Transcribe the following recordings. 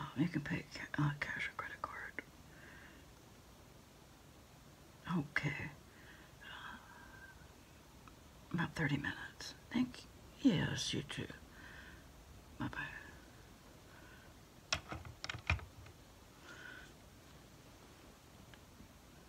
Oh, you can pay uh, cash or credit card. Okay. Uh, about 30 minutes. Thank you. Yes, you too. Bye-bye.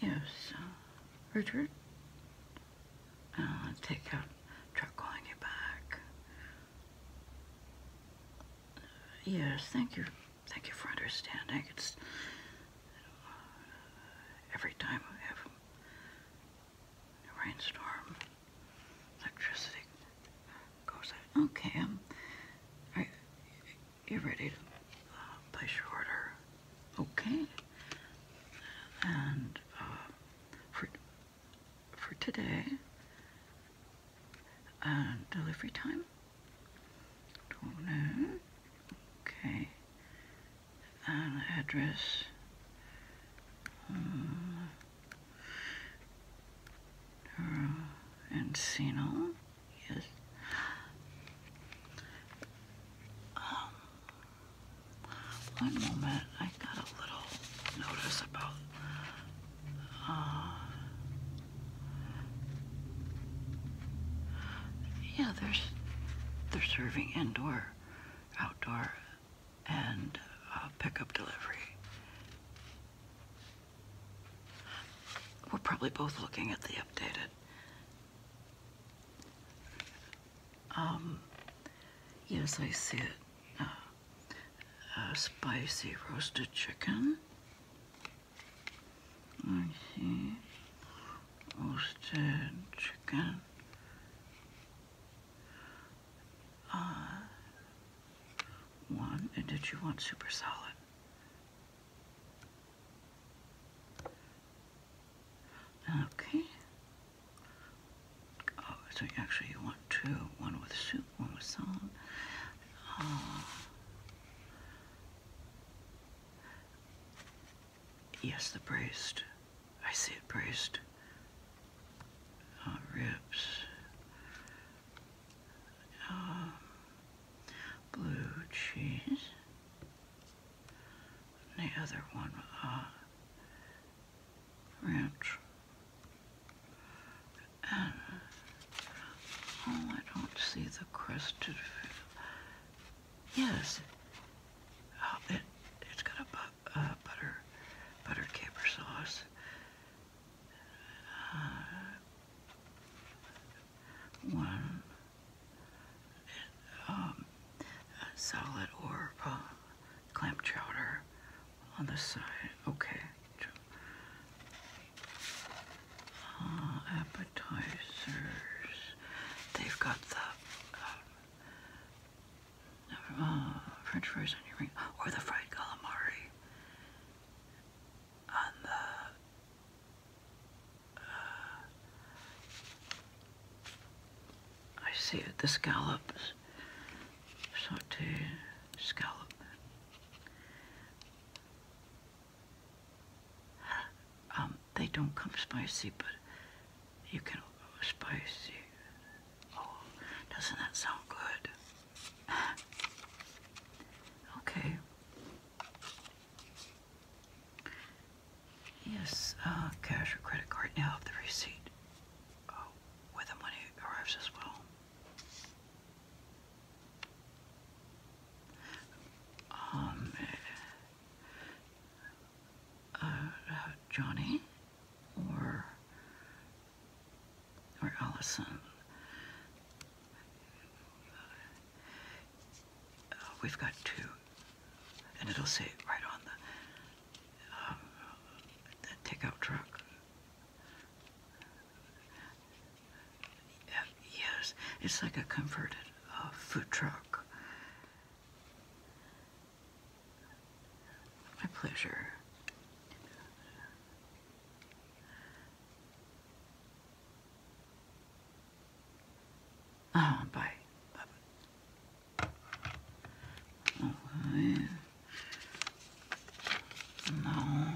Yes, uh, Richard? Uh, take out truck on your back. Uh, yes, thank you. Thank you for understanding. It's uh, every time we have a rainstorm, electricity goes out. Okay, um, are you ready to uh, place your order? Okay. And for, for today. Uh, delivery time. do Okay. And address. Hmm. Encino. Yes. Um, one moment, I got a little notice about uh, yeah, there's they're serving indoor, outdoor, and uh, pickup delivery. We're probably both looking at the updated. Um, yes, I see it. Uh, uh, spicy roasted chicken. Okay. Roasted chicken. Uh, one. And did you want super salad? Okay. Oh, so actually you want two, one with soup, one with salt. Uh, yes, the braised. I see it braised. Uh, ribs. Uh, blue cheese. the other one, ranch. oh, I don't see the crested. Yes, oh, it it's got a uh, butter butter caper sauce. Uh, one. um, uh, salad or clam chowder on the side. Okay. Uh, appetizers. They've got the uh, uh, French fries on your ring, or the fried calamari on the I see it, the scallops. So to scallop. Um, they don't come spicy, but you can spicy. Oh, doesn't that sound good? okay. Yes, uh, cash or credit card now have the receipt uh, with him when he arrives as well. Um, uh, uh Johnny or or Allison. Uh, we've got two, and it'll say right on the um, the takeout truck. yes, it's like a converted uh, food truck. My pleasure. Oh, -bye. Right. No.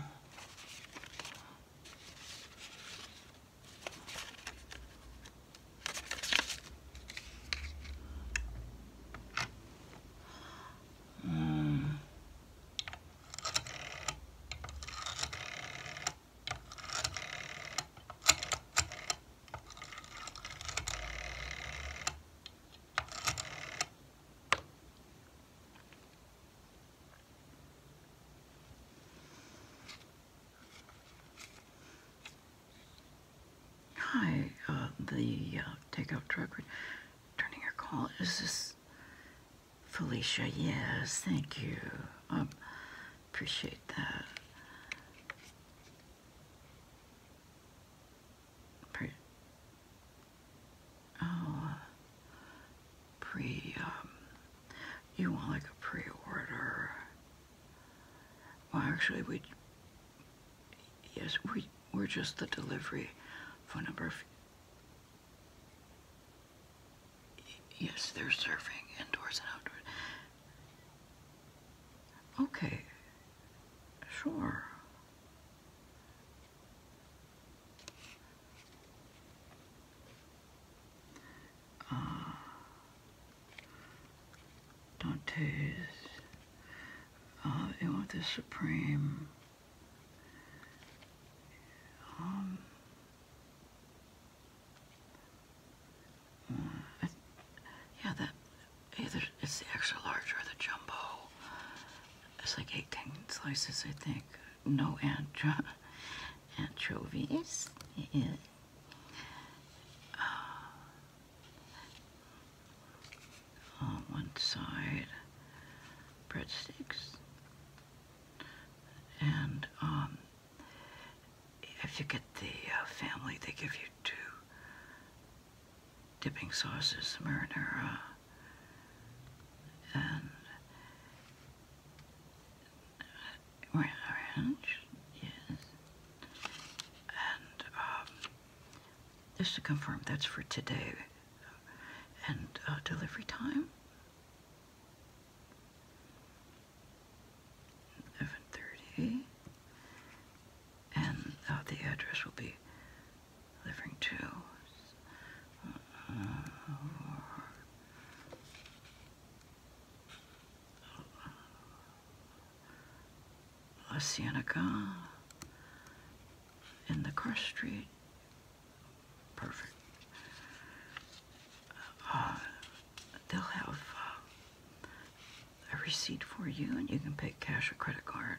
Hmm. Hi, uh, the uh, takeout truck returning your call. Is this Felicia? Yes, thank you. Um, appreciate that pre, oh, pre, um, you want like a pre-order. Well, actually, we, yes, we, we're just the delivery phone number. Yes, they're serving indoors and outdoors. Okay, Sure. Uh, Dante's, uh, you want the Supreme. Um, uh, yeah, that either it's the extra large or the jumbo. It's like 18 slices, I think. No ancho anchovies. Uh, on one side, breadsticks. And um, if you get the uh, family, they give you two dipping sauces, marinara, and orange, yes. And um, just to confirm, that's for today. And uh, delivery time? 11.30 and uh, the address will be delivering to La in the cross street. Perfect. Uh, they'll have uh, a receipt for you, and you can pick cash or credit card.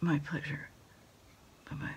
My pleasure. Bye bye.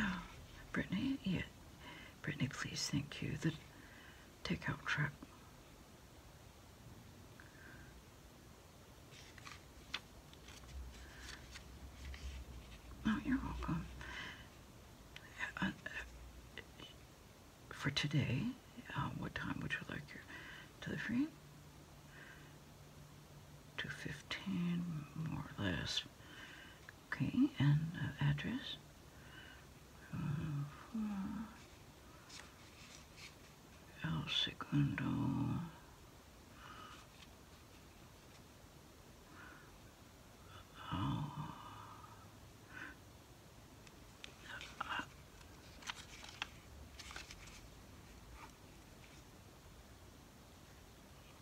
Oh, Brittany, yeah. Brittany, please thank you. The takeout truck Oh, you're welcome. Uh, uh, for today, uh, what time would you like your delivery? 215, more or less. Okay, and address? El Segundo. Oh.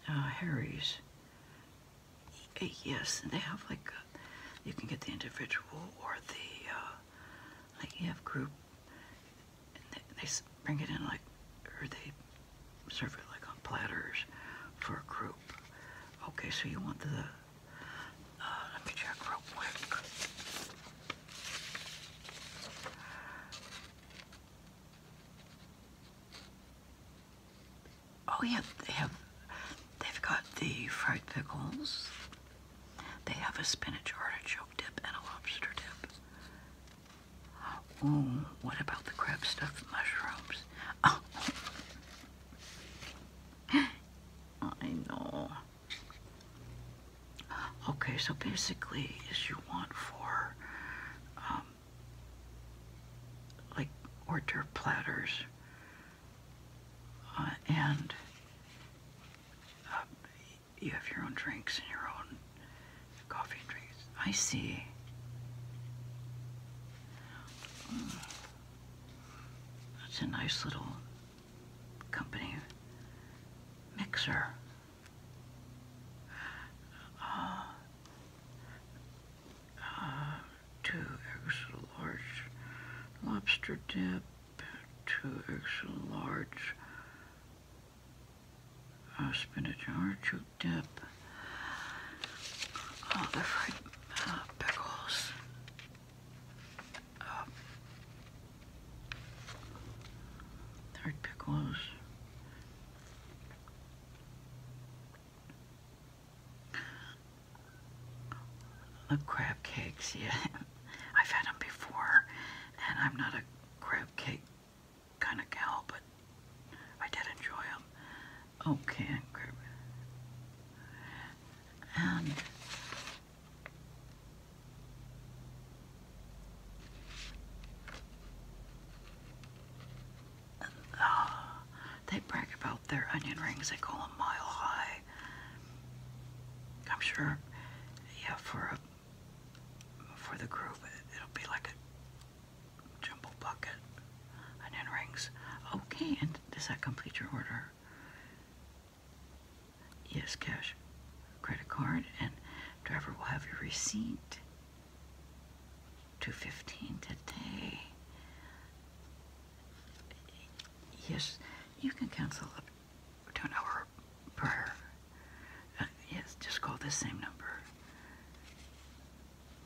oh Harry's. Yes, they have like, you can get the individual or the uh, like you have group, and they, bring it in like, or they serve it like on platters for a group. Okay, so you want the, uh, let me check real quick. Oh yeah, they have, they've got the fried pickles, they have a spinach artichoke dip and a lobster dip. Ooh, what about the crab stuffed mushrooms? I know. Okay, so basically, as you want for um, like order platters uh, and um, you have your own drinks and your own coffee drinks. I see. Mm. That's a nice little company mixer. Uh, uh, two extra large lobster dip two extra large uh, spinach artichoke dip, oh, the fried uh, pickles, fried uh, pickles, the crab cakes, yeah. I've had them before, and I'm not a crab cake kind of gal, but I did enjoy them. Oat And uh, they brag about their onion rings. They call them mile high. I'm sure, yeah, for a for the group, it'll be like a jumbo bucket, onion rings. Okay, and does that complete your order? Yes, cash, credit card, and driver will have your receipt. Two fifteen today. Yes, you can cancel up to hour prior. Uh, yes, just call this same number.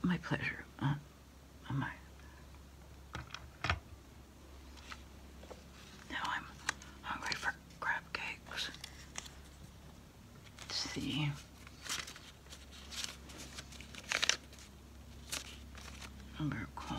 My pleasure. Uh, uh, my. Now I'm hungry for crab cakes. Let's see. i call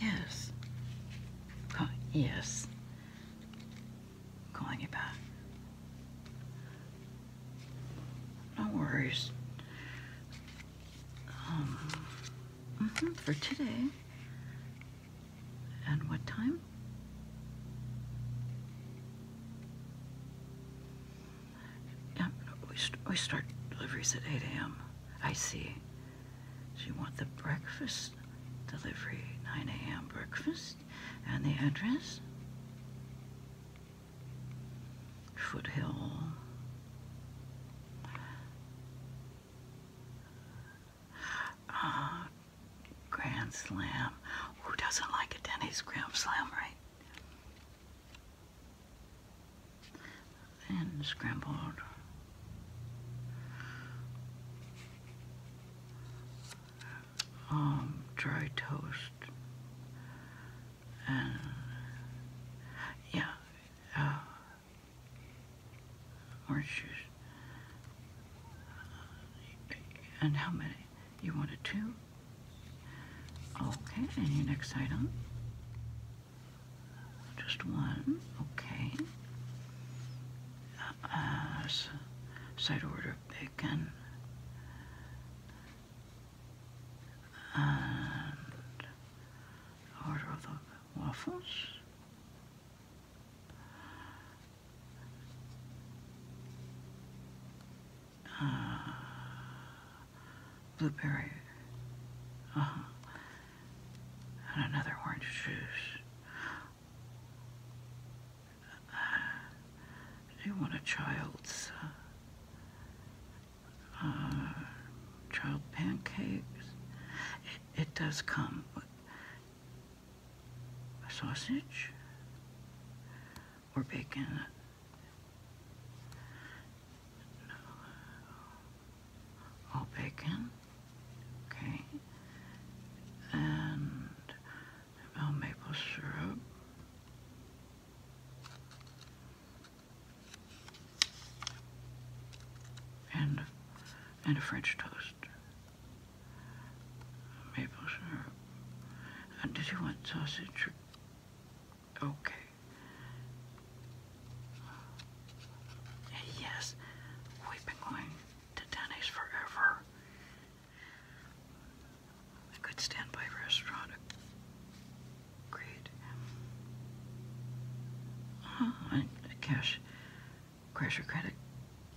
Yes. yes. Calling you back. No worries. Um, mm-hmm, for today, and what time? we, start deliveries at 8 a.m. I see. So you want the breakfast delivery, 9 a.m. breakfast, and the address? Foothill. Uh, Grand Slam. Who doesn't like a Denny's Grand Slam, right? And scrambled. Um, dry toast. And, yeah, uh, orange juice. And how many? You wanted two? Okay, and your next item? Just one, okay. Uh, side order bacon. And order of the waffles. blueberry. Uh -huh. And another orange juice. do you want a child's uh, uh, child pancakes? it does come a sausage or bacon. No. All bacon. Okay. And i maple syrup. And, and a French toast maple syrup. did you want sausage? Okay. Yes, we've been going to Denny's forever. A good standby restaurant. Great. Oh, cash. Crash credit.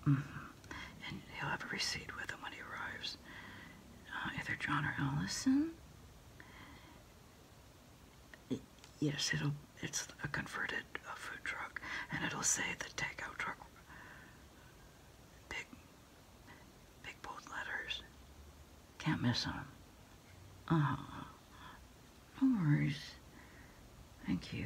Mm-hmm and he'll have a receipt with him when he arrives. Uh, either John or Allison. yes, it'll. It's a converted uh, food truck, and it'll say the takeout truck. Big, big bold letters. Can't miss them. Uh huh. No worries. Thank you.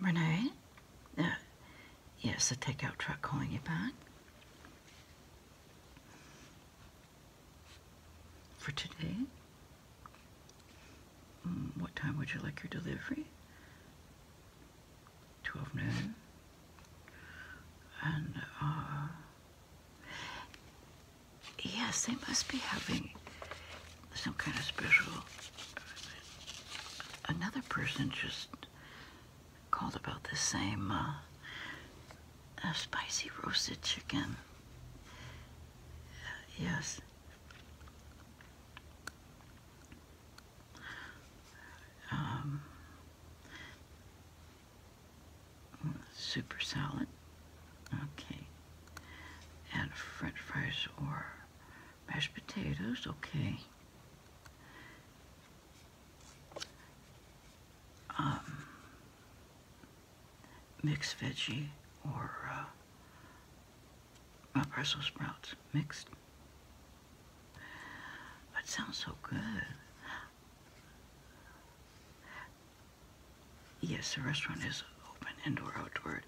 Renee? Uh, yes, the takeout truck calling you back. For today? Mm, what time would you like your delivery? 12 noon. And, uh, Yes, they must be having some kind of special. Another person just called about the same uh, uh, spicy roasted chicken. yes. Um, super salad. Okay. Add french fries or mashed potatoes. Okay. Um, mixed veggie or uh, Brussels sprouts mixed. That sounds so good. Yes, the restaurant is open indoor outdoor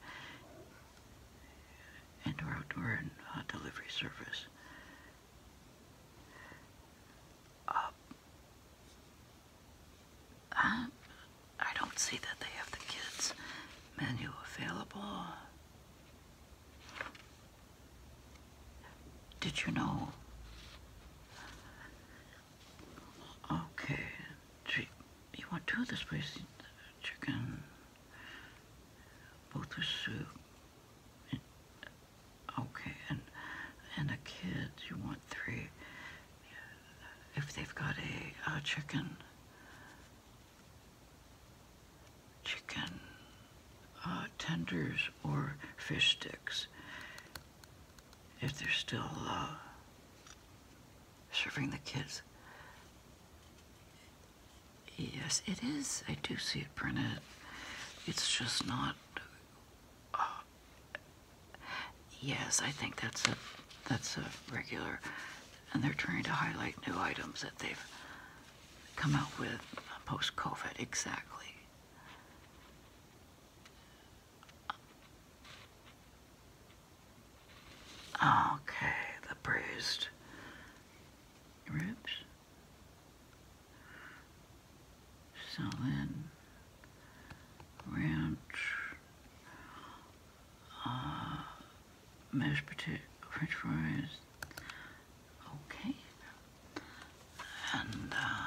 indoor outdoor and uh, delivery service. Uh, uh, I don't see that they have the kids menu available. Did you know Okay, you want two of this please? Chicken, both with soup. And, okay, and and the kids, you want three. If they've got a, chicken, chicken uh, tenders or fish sticks if they're still uh, serving the kids. Yes, it is. I do see it printed. It's just not. Uh, yes, I think that's a that's a regular, and they're trying to highlight new items that they've come out with post-COVID. Exactly. Okay, the bruised ribs. So ranch, mashed potato, french fries. Okay, and uh,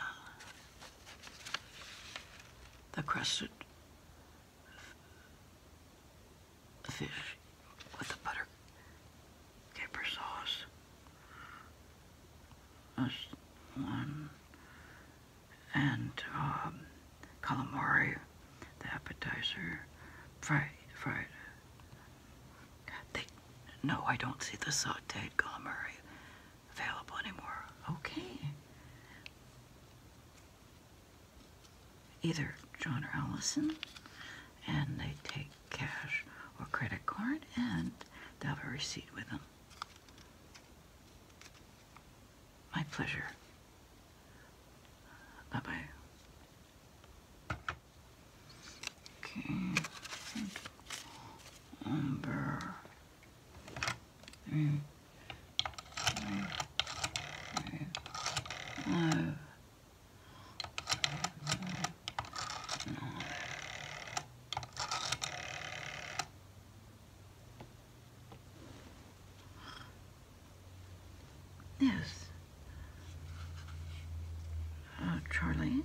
the crested fish with the butter caper sauce. one. And um, calamari, the appetizer, fried, fried. no, I don't see the sauteed calamari available anymore. Okay. Either John or Allison, and they take cash or credit card, and they have a receipt with them. My pleasure. Bye bye. Okay. Umber. Yes. Uh, Charlie?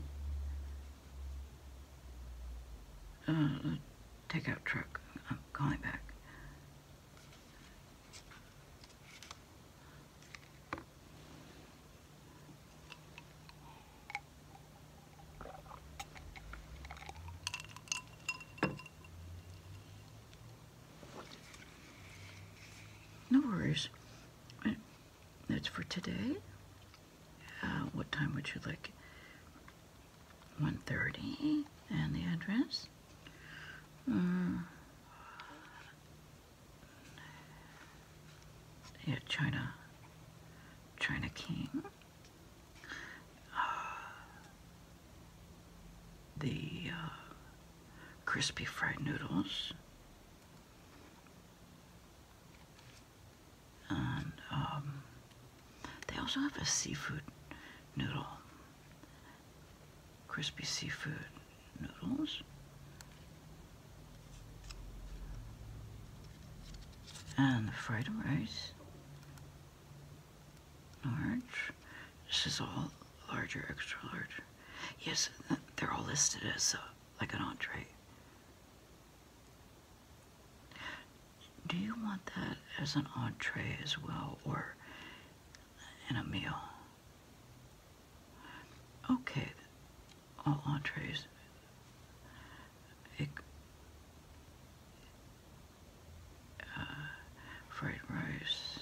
Uh, uh takeout truck. I'm calling back. No worries. That's for today. Uh, what time would you like? 130 and the address. Uh, yeah, China, China King. Uh, the uh, crispy fried noodles. Um, they also have a seafood noodle, crispy seafood noodles. And the fried rice, large. This is all larger, extra large. Yes, they're all listed as uh, like an entree. Do you want that as an entree as well or in a meal? Okay, all entrees. It, uh, fried rice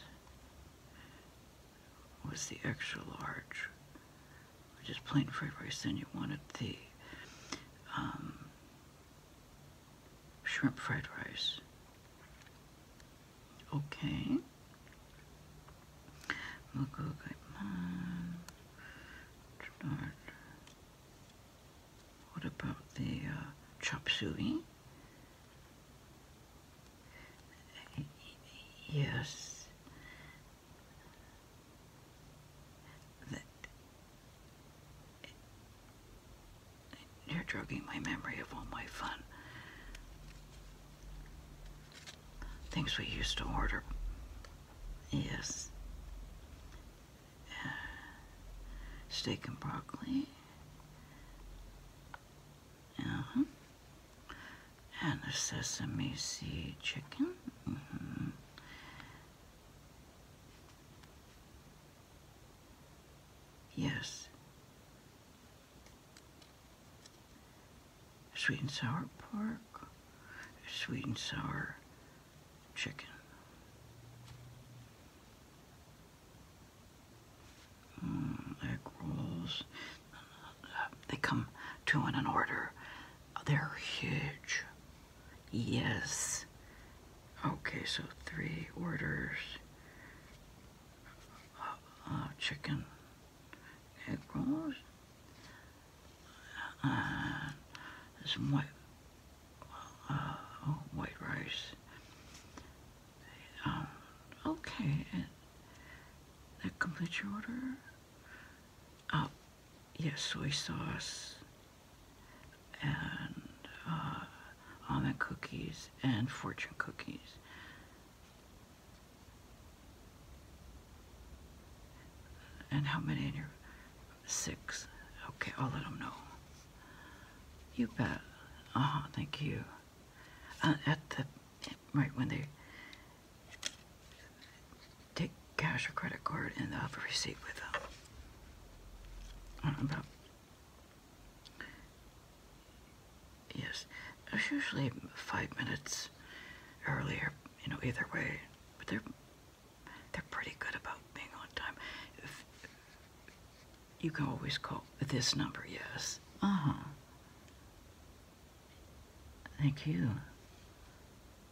was the extra large. Just plain fried rice, and you wanted the um, shrimp fried rice. Okay. We'll go What about the uh, chop suey? Yes you're drugging my memory of all my fun. Things we used to order. Yes. Uh, steak and broccoli. Uh And the sesame seed chicken. Mm-hmm. Yes. Sweet and sour pork, sweet and sour chicken. Mm, egg rolls. They come two in an order. They're huge. Yes. Okay, so three orders. Uh, uh, chicken egg rolls. And uh, some white, oh, white rice. Um, okay, that completes your order. Uh, yes, soy sauce and uh, almond cookies and fortune cookies. And how many in your six? Okay, I'll let them know. You bet. Uh Thank you. Uh, at the right when they take cash or credit card and they'll have a receipt with them. I don't about. Yes, it's usually five minutes earlier, you know, either way. But they're they're pretty good about being on time. you can always call this number, yes. Uh huh. Thank you.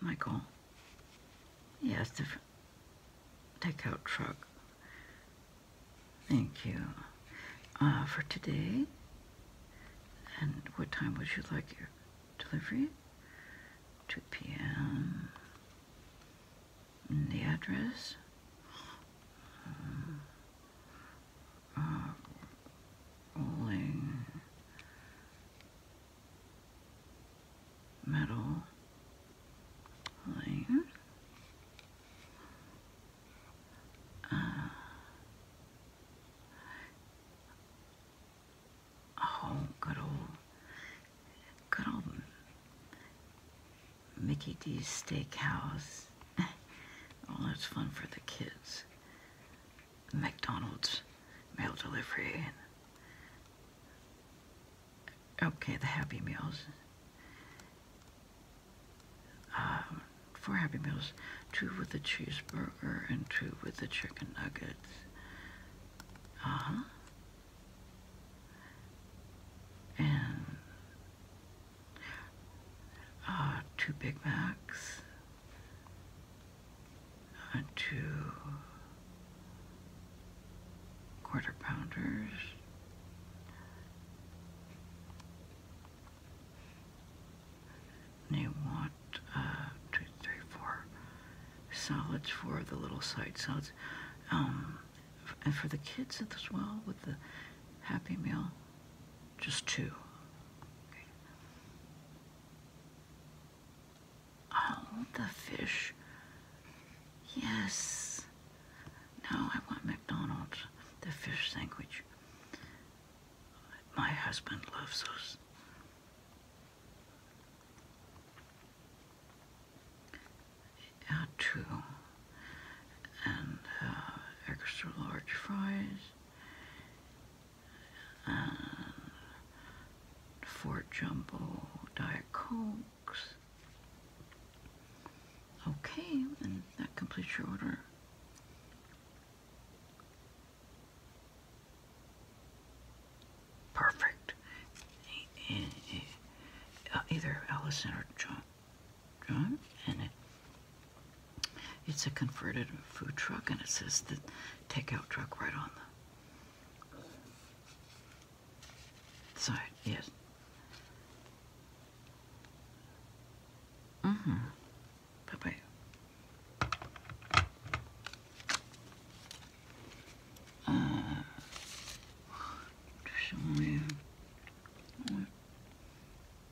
Michael. Yes, the takeout truck. Thank you. Uh, for today, and what time would you like your delivery? 2 p.m. The address? rolling metal layer. Uh, oh, good old, good old Mickey D's Steakhouse. Oh, that's fun for the kids. McDonald's mail delivery okay, the Happy Meals. Um, four Happy Meals, two with the cheeseburger and two with the chicken nuggets. Uh-huh. And uh, two Big Macs two quarter pounders. And you want uh, two, three, four solids for the little side salads. Um, and for the kids as well with the Happy Meal just two. Oh, the fish. Yes. Now I want McDonald's, the fish sandwich. My husband loves those. Yeah, two. And uh, extra large fries. Uh, Fort Jumbo Diet Cokes. Okay, and that completes your order. Perfect. Uh, either Allison or John. John? And it's a converted food truck, and it says the takeout truck right on the side. Yes. Mm-hmm. Bye-bye. Uh,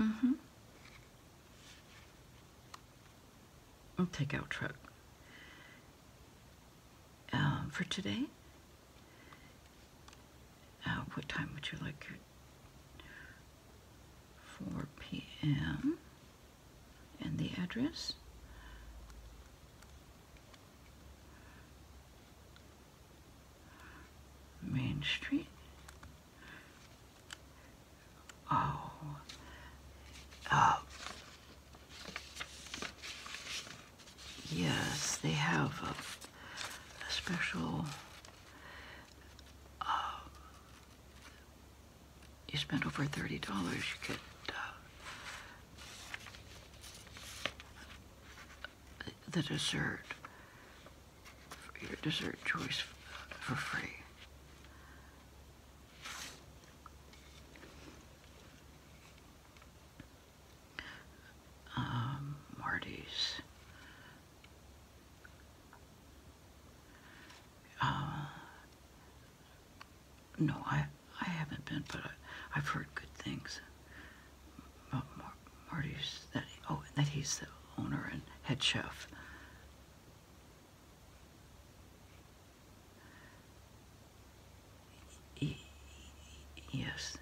Mm-hmm. i take out truck. Um, for today, uh, what time would you like your 4 p.m. and the address? Main Street. Oh. Uh, yes, they have a, special. Uh, you spend over thirty dollars, you get uh, the dessert your dessert choice for free. Um, Marty's. Uh, no, I, I haven't been, but I, have heard good things about Marty's. That, oh, that he's the owner and head chef. Yes.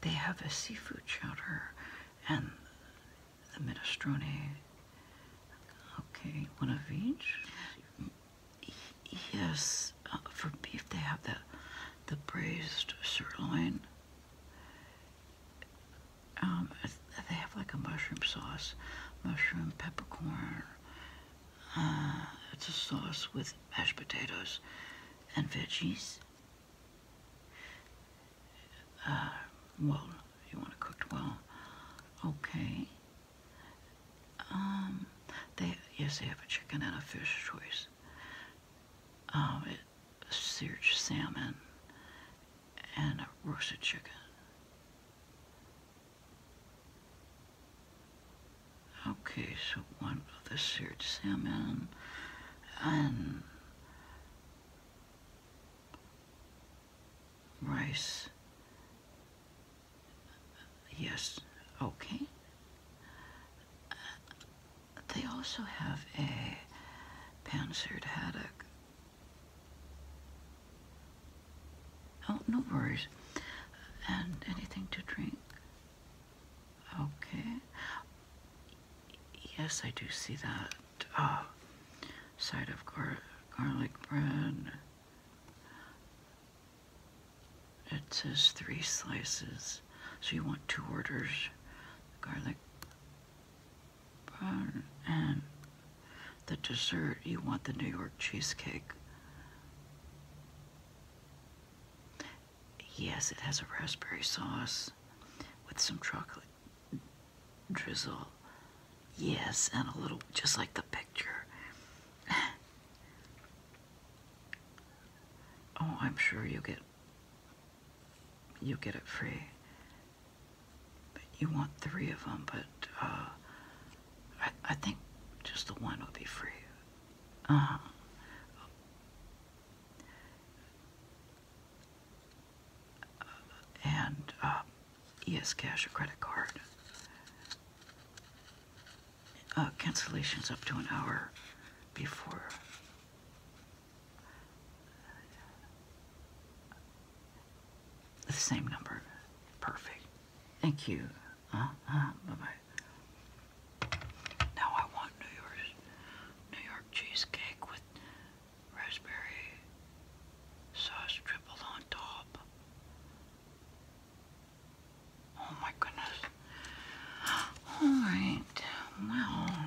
They have a seafood chowder and the minestrone. Okay, one of each. Yes, uh, for beef they have the the braised sirloin um, they have like a mushroom sauce, mushroom, peppercorn. Uh, it's a sauce with mashed potatoes and veggies. Uh, well, you want it cooked well. Okay. Um, they yes, they have a chicken and a fish choice. Um, seared salmon, and a roasted chicken. Okay, so one of the seared salmon and rice. Yes, okay they also have a panzered haddock. Oh, no worries. And anything to drink? Okay. Yes, I do see that. Ah, side of garlic bread. It says three slices, so you want two orders. Garlic and the dessert, you want the New York cheesecake. Yes, it has a raspberry sauce with some chocolate drizzle. Yes, and a little, just like the picture. oh, I'm sure you get you get it free. But you want three of them, but uh, I, I think just the one would be free. Uh-huh. And uh, eS cash or credit card. Uh, cancellations up to an hour before the same number. Perfect. Thank you. Uh, uh, bye-bye. Now I want New York, New York cheesecake with raspberry sauce tripled on top. Oh my goodness. All right. Well,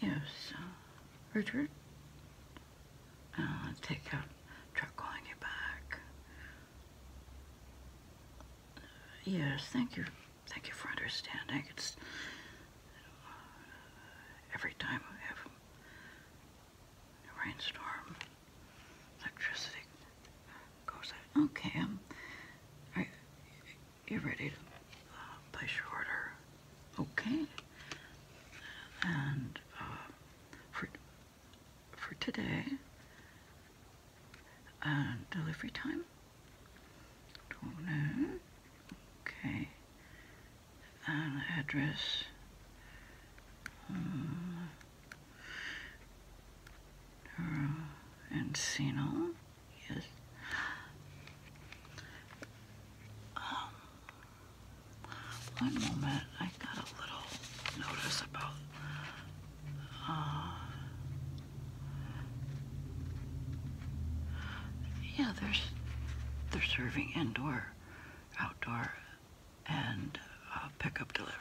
Yes, uh, Richard? I'll uh, take a truck on you back. yes, thank you. Thank you for understanding. It's uh, every time I have rainstorm, electricity Okay, um, are you ready to uh, Okay, and uh, for for today, And uh, delivery time. Donut. Okay address. Um, Encino, yes. Um, one moment, I got a little notice about uh, yeah, there's they're serving indoor, outdoor, and uh, pickup delivery.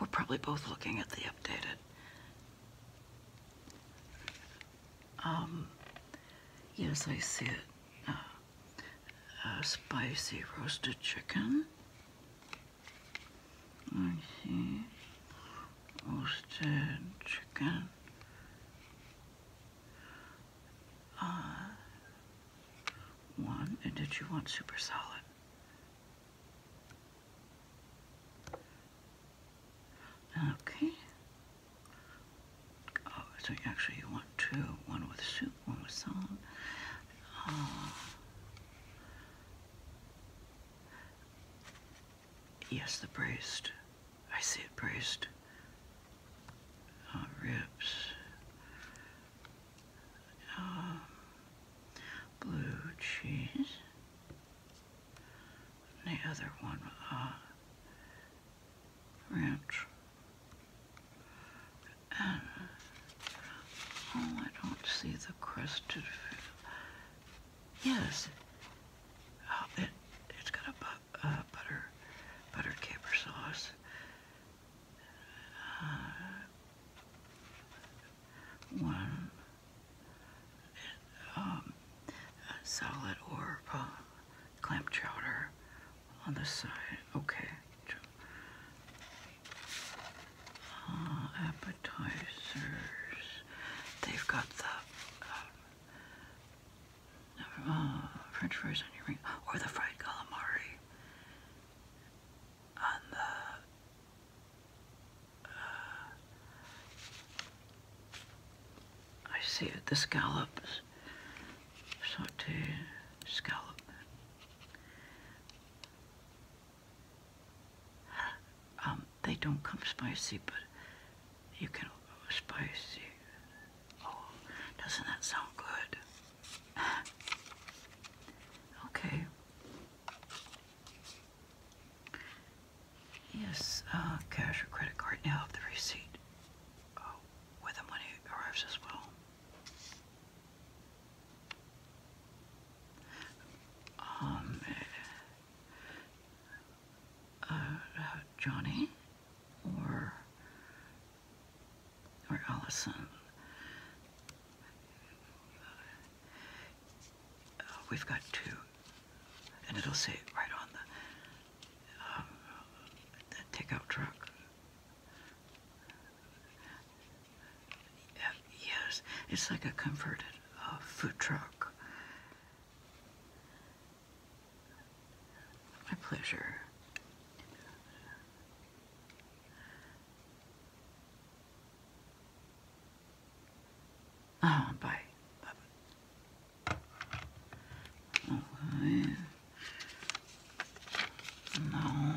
We're probably both looking at the updated. Um, yes, I see it. Uh, uh, spicy roasted chicken. I see roasted chicken, uh, one, and did you want super solid? Okay. Oh, so actually you want two, one with soup, one with salad. Uh, Yes, the breast. I said breast. Oh, ribs. Um, blue cheese. the other one, uh, ranch. oh, I don't see the crusted Yes. Oh, it, it's got a uh, butter, butter caper sauce. Uh, one um, salad or clam chowder on the side. Okay. Uh, appetizers. They've got the uh, French fries on your ring, or the fried calamari uh, I see it. The scallops, sauteed scallop. Um, they don't come spicy, but you can spice it. Oh, doesn't that sound good? okay. Yes, uh, cash or credit card now of the receipt uh, the money arrives as well. Um, uh, Johnny or or Allison. Uh, we've got two, and it'll say right on the, uh, the takeout truck. yes, it's like a converted food truck. My pleasure. Oh, bye. bye. No.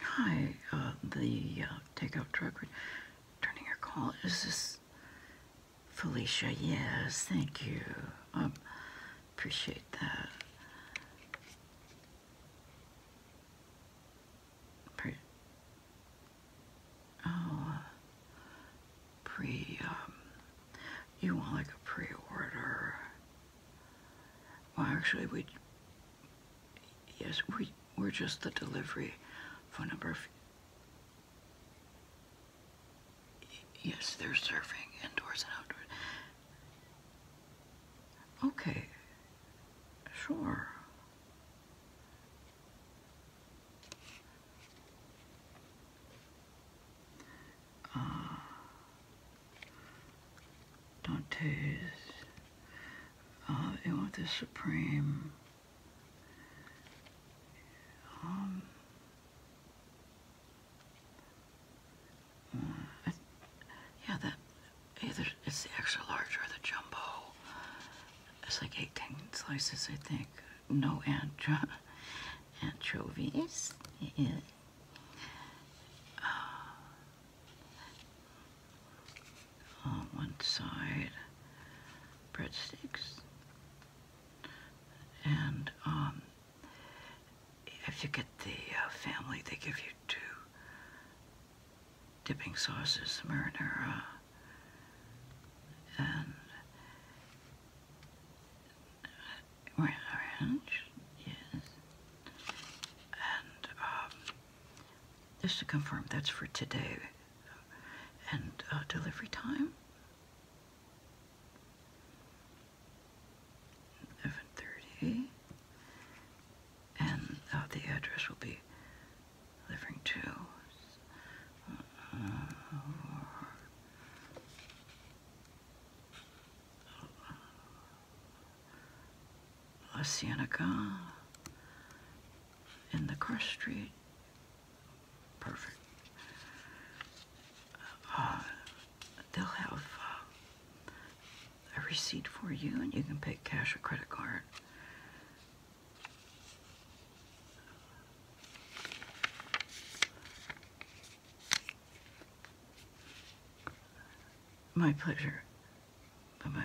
Hi, uh, the uh, takeout truck Turning your call. Is this Felicia? Yes, thank you. Um, appreciate that. Pre oh, uh, pre, um, you want like a pre-order. Well, actually, we, yes, we, we're just the delivery phone number. Yes, they're serving indoors and outdoors. Okay, sure uh, Dante's, uh, you want the Supreme, um, yeah, that either it's the extra large or the jumbo. It's like 18 slices, I think. No ancho anchovies. Yes. Oh. on one side breadsticks and um, if you get the uh, family they give you two dipping sauces, marinara and orange, yes. And um, just to confirm, that's for today. And uh, delivery time? 11.30. And uh, the address will be delivering to... La Cienega in the cross street. Perfect. Uh, they'll have uh, a receipt for you and you can pay cash or credit card. My pleasure. Bye bye.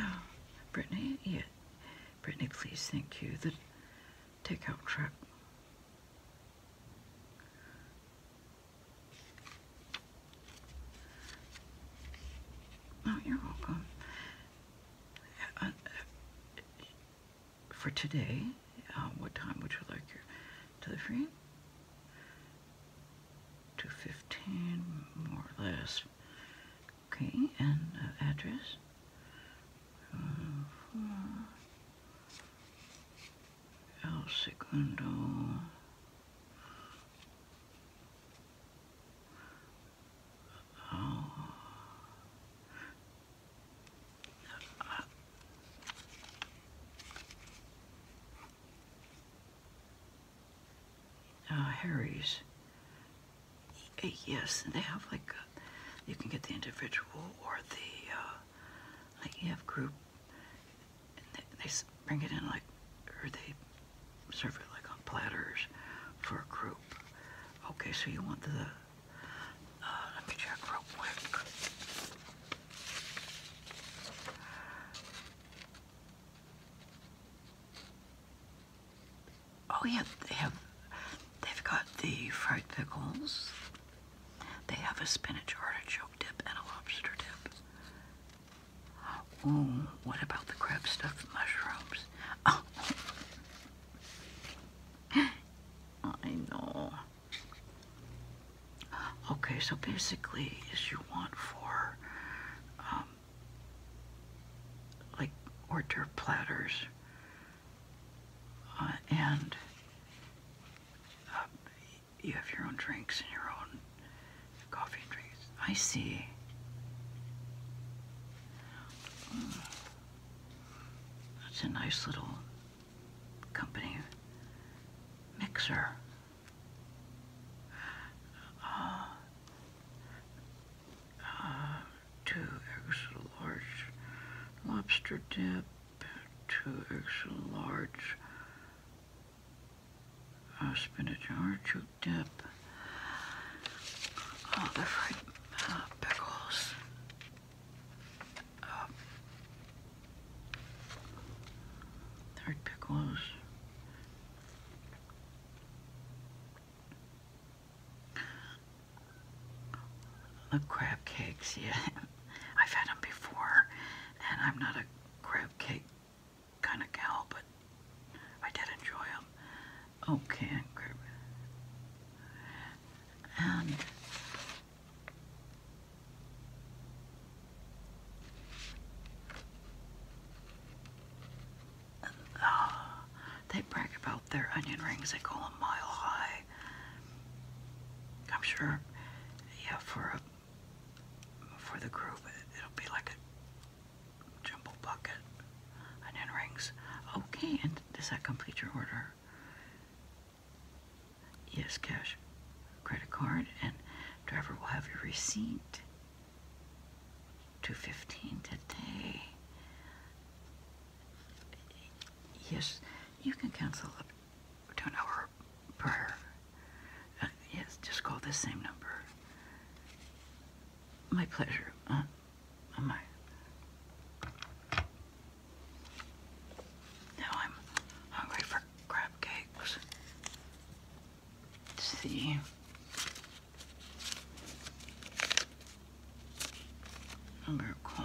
Oh, Brittany, yeah. Brittany, please, thank you. The takeout truck. Oh, you're welcome. Uh, uh, for today, um, what time would you like your delivery? 215, more or less. Okay, and uh, address? Uh, El Segundo. Oh. Uh, uh, Harry's. Eh, yes, and they have like, uh, you can get the individual or the, uh, like you have group. And they, they bring it in like, or they serve it like on platters for a group. Okay, so you want the uh, let me check real quick. Oh yeah, they have. They've got the fried pickles. They have a spinach artichoke dip and a lobster dip. Oh, what about the crab stuffed mushrooms? Oh. I know. Okay, so basically as you want for um, like order d'oeuvre platters uh, and uh, you have your own drinks and your own coffee drinks. I see. Mm. That's a nice little company mixer. Uh, uh, two extra large lobster dip, two extra large uh, spinach artichoke dip, the fried pickles, um, pickles. The crab cakes, yeah. I've had them before, and I'm not a crab cake kind of gal, but I did enjoy them. Okay. crab and uh, they brag about their onion rings. They call them mile high. I'm sure, yeah, for for the group, it'll be like a jumbo bucket onion rings. Okay, and does that complete your order? yes cash credit card and driver will have your receipt 215 today yes you can cancel up to an hour prior uh, yes just call this same number my pleasure uh, now I'm hungry for crab cakes. Let's see. i call.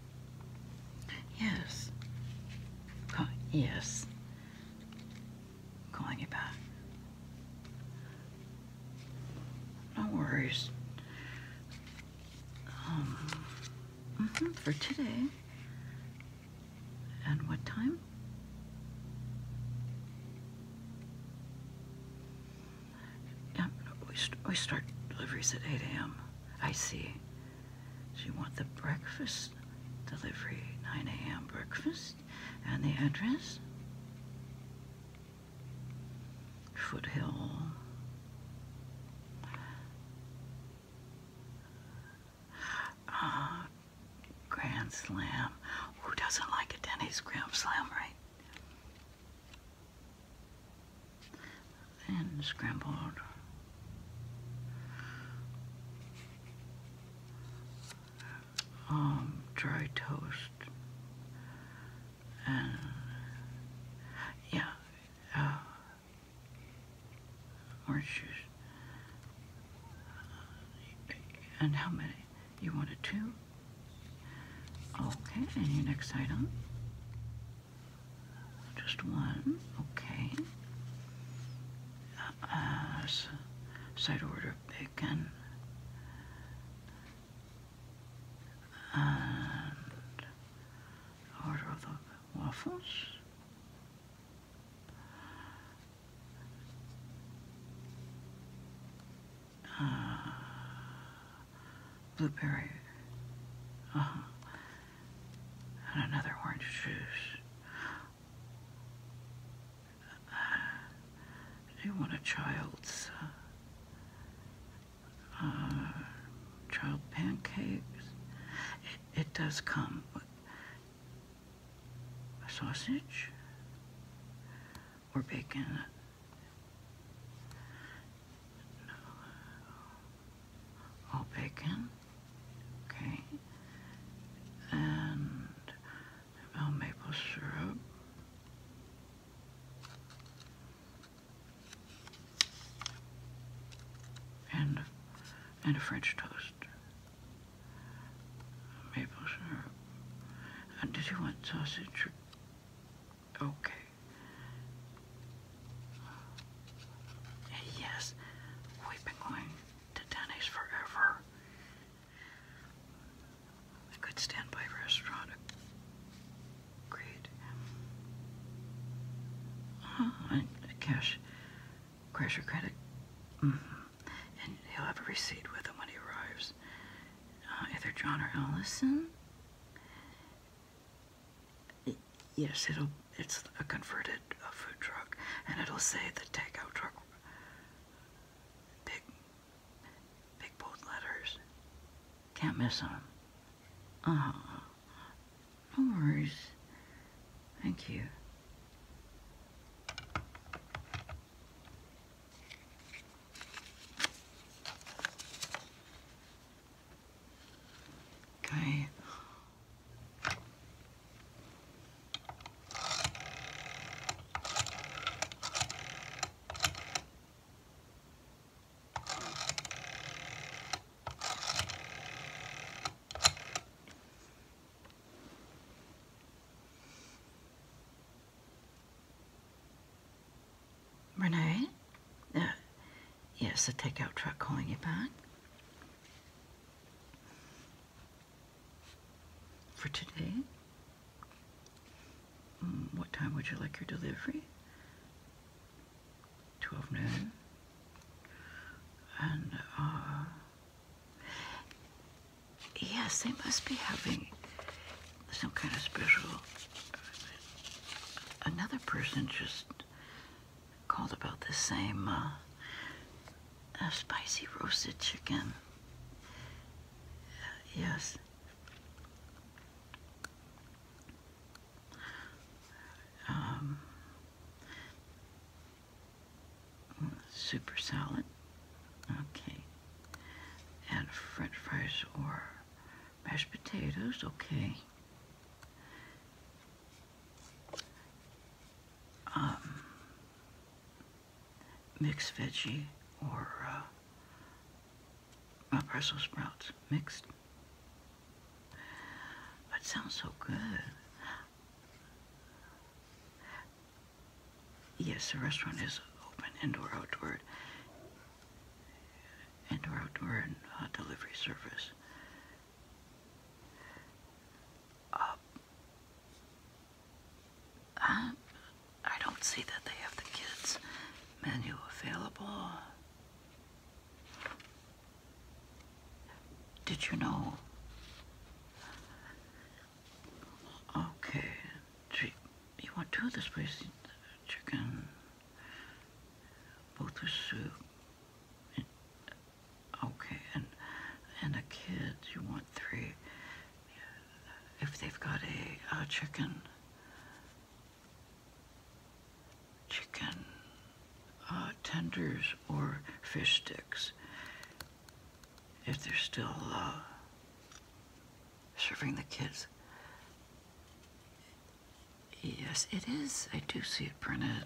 Yes. yes. Calling you back. No worries. Um, mm-hmm, for today. And what time? Yeah, we, we start deliveries at 8 a.m. I see. So you want the breakfast delivery, 9 a.m. breakfast, and the address? Foothill. Ah, Grand Slam. Who doesn't like a Denny's Grand Slam, right? and scrambled um, dry toast and yeah uh, orange juice and how many you wanted two okay and your next item just one, okay. Uh, side order bacon. And order of the waffles. Uh, blueberry. Uh -huh and another orange juice. Do you want a child's uh, uh, child pancakes? It, does come with a sausage or bacon all bacon, okay, and maple syrup. And and a French toast, maple syrup. And did you want sausage? Okay. And yes, we've been going to Denny's forever. A good standby restaurant. Great. Uh-huh, cash, cash your credit. Mm-hmm. And he'll have a receipt with him when he arrives. Uh, either John or Allison yes, it'll it's a converted uh, food truck, and it'll say the takeout truck, big, big bold letters. Can't miss them. Uh huh. No worries. Thank you. Okay. Renee? Uh, yes, the takeout truck calling you back. For today, mm, what time would you like your delivery? 12 noon. And, uh, yes, they must be having some kind of special. Another person just called about the same uh, uh spicy roasted chicken. Uh, yes. Um, super salad. Okay. And french fries or mashed potatoes. Okay. Um, mixed veggie or uh, my Brussels sprouts mixed. That sounds so good. Yes, the restaurant is open indoor outdoor, indoor outdoor and uh, delivery service. Uh, I, I don't see that they have the kids menu available. Did you know? Okay, you want two of the place? Chicken, both with soup, Okay, and and a kid, you want three. If they've got a, chicken, chicken uh, tenders or fish sticks, if they're still uh, serving the kids. Yes, it is. I do see it, printed.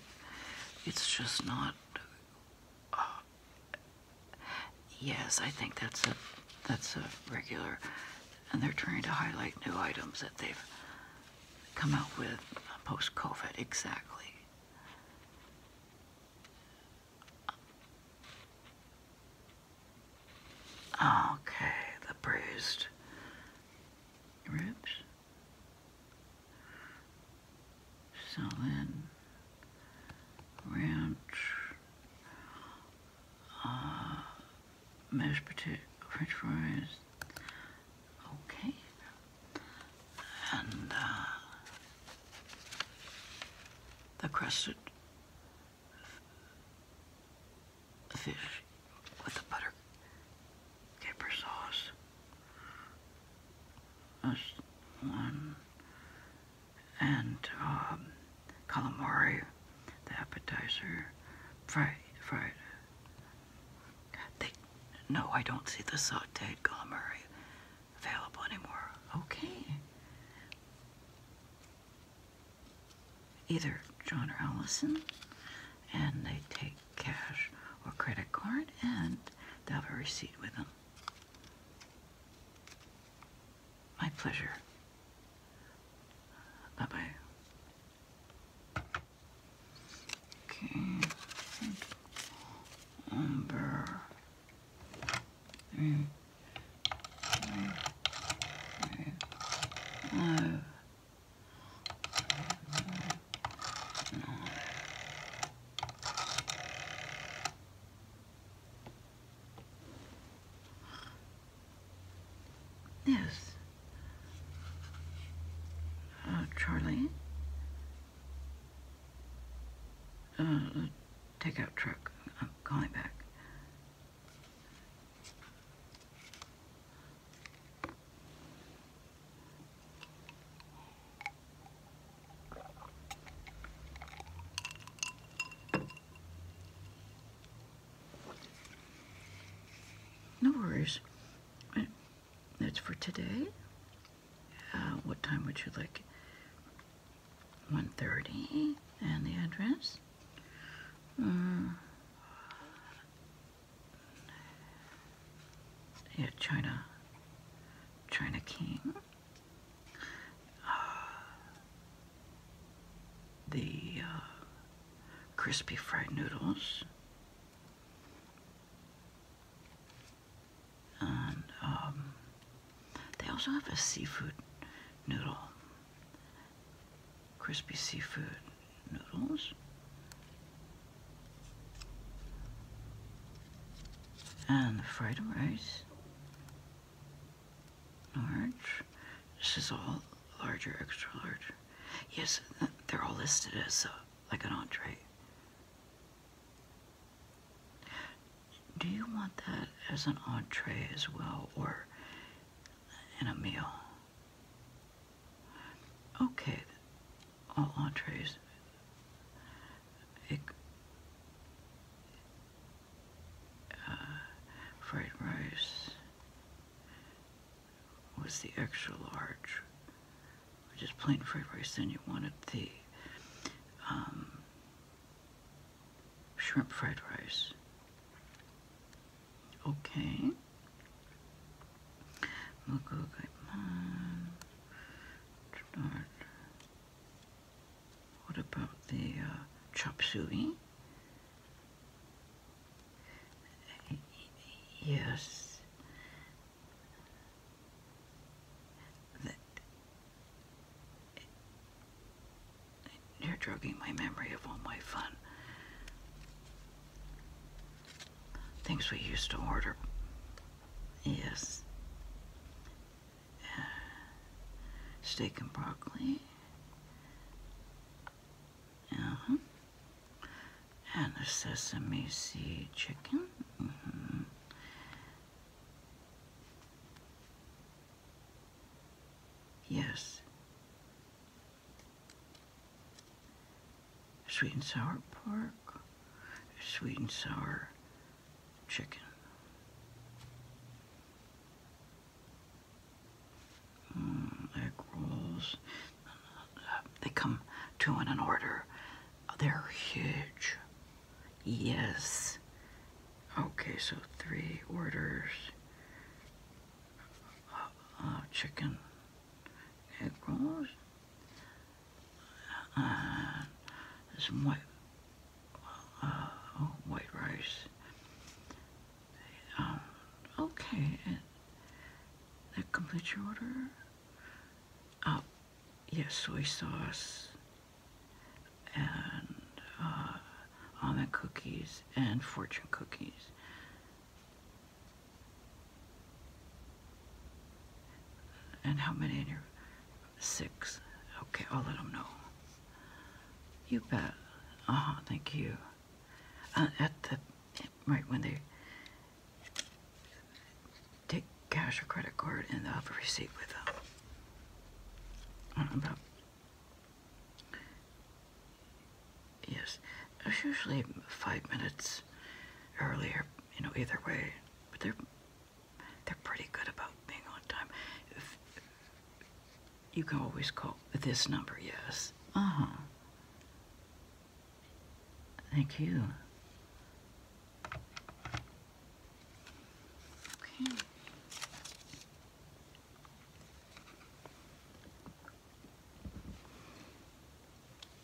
It's just not Yes, I think that's a that's a regular, and they're trying to highlight new items that they've come out with post-COVID. Exactly. Okay, the bruised ribs. So then, ranch, uh, mashed potato, french fries, okay, and uh, the crusted fish with the butter caper sauce. That's one. And um, calamari, the appetizer. Fried, fried. They, no, I don't see the sauteed calamari available anymore. Okay. Either John or Allison, and they take cash, or credit card, and they'll have a receipt with them. My pleasure. Bye bye. Okay. Number three, three, three, five, nine, Yes. Uh, Charlie? Uh, uh takeout truck. I'm calling back. No worries. That's for today. Uh, what time would you like? 1.30 and the address. Uh, yeah, China. China King. Uh, the uh, crispy fried noodles. And um, they also have a seafood noodle. Crispy seafood noodles and the fried rice, large. This is all larger, extra large. Yes, they're all listed as uh, like an entree. Do you want that as an entree as well, or in a meal? Okay, all entrees. Uh, fried rice was the extra large, Just plain fried rice. Then you wanted the um, shrimp fried rice. Okay. What about the uh, chop suey? Yes. you're drugging my memory of all my fun. Things we used to order Yes. steak and broccoli. Uh And the sesame seed chicken. Mm-hmm. Yes sweet and sour pork, sweet and sour chicken. Mm, egg rolls. They come two in an order. They're huge. Yes. Okay, so three orders. Uh, uh, chicken egg rolls. Uh, some white, oh, white rice. Um, okay, that completes your order. Oh, yes, soy sauce and uh, almond cookies and fortune cookies. And how many in your six? Okay, I'll let them know. You bet. Uh Thank you. Uh, at the right when they take cash or credit card, and they have a receipt with them. I don't about. Yes, it's usually five minutes earlier. You know, either way, but they're they're pretty good about being on time. you can always call this number, yes. Uh-huh. Thank you. Okay.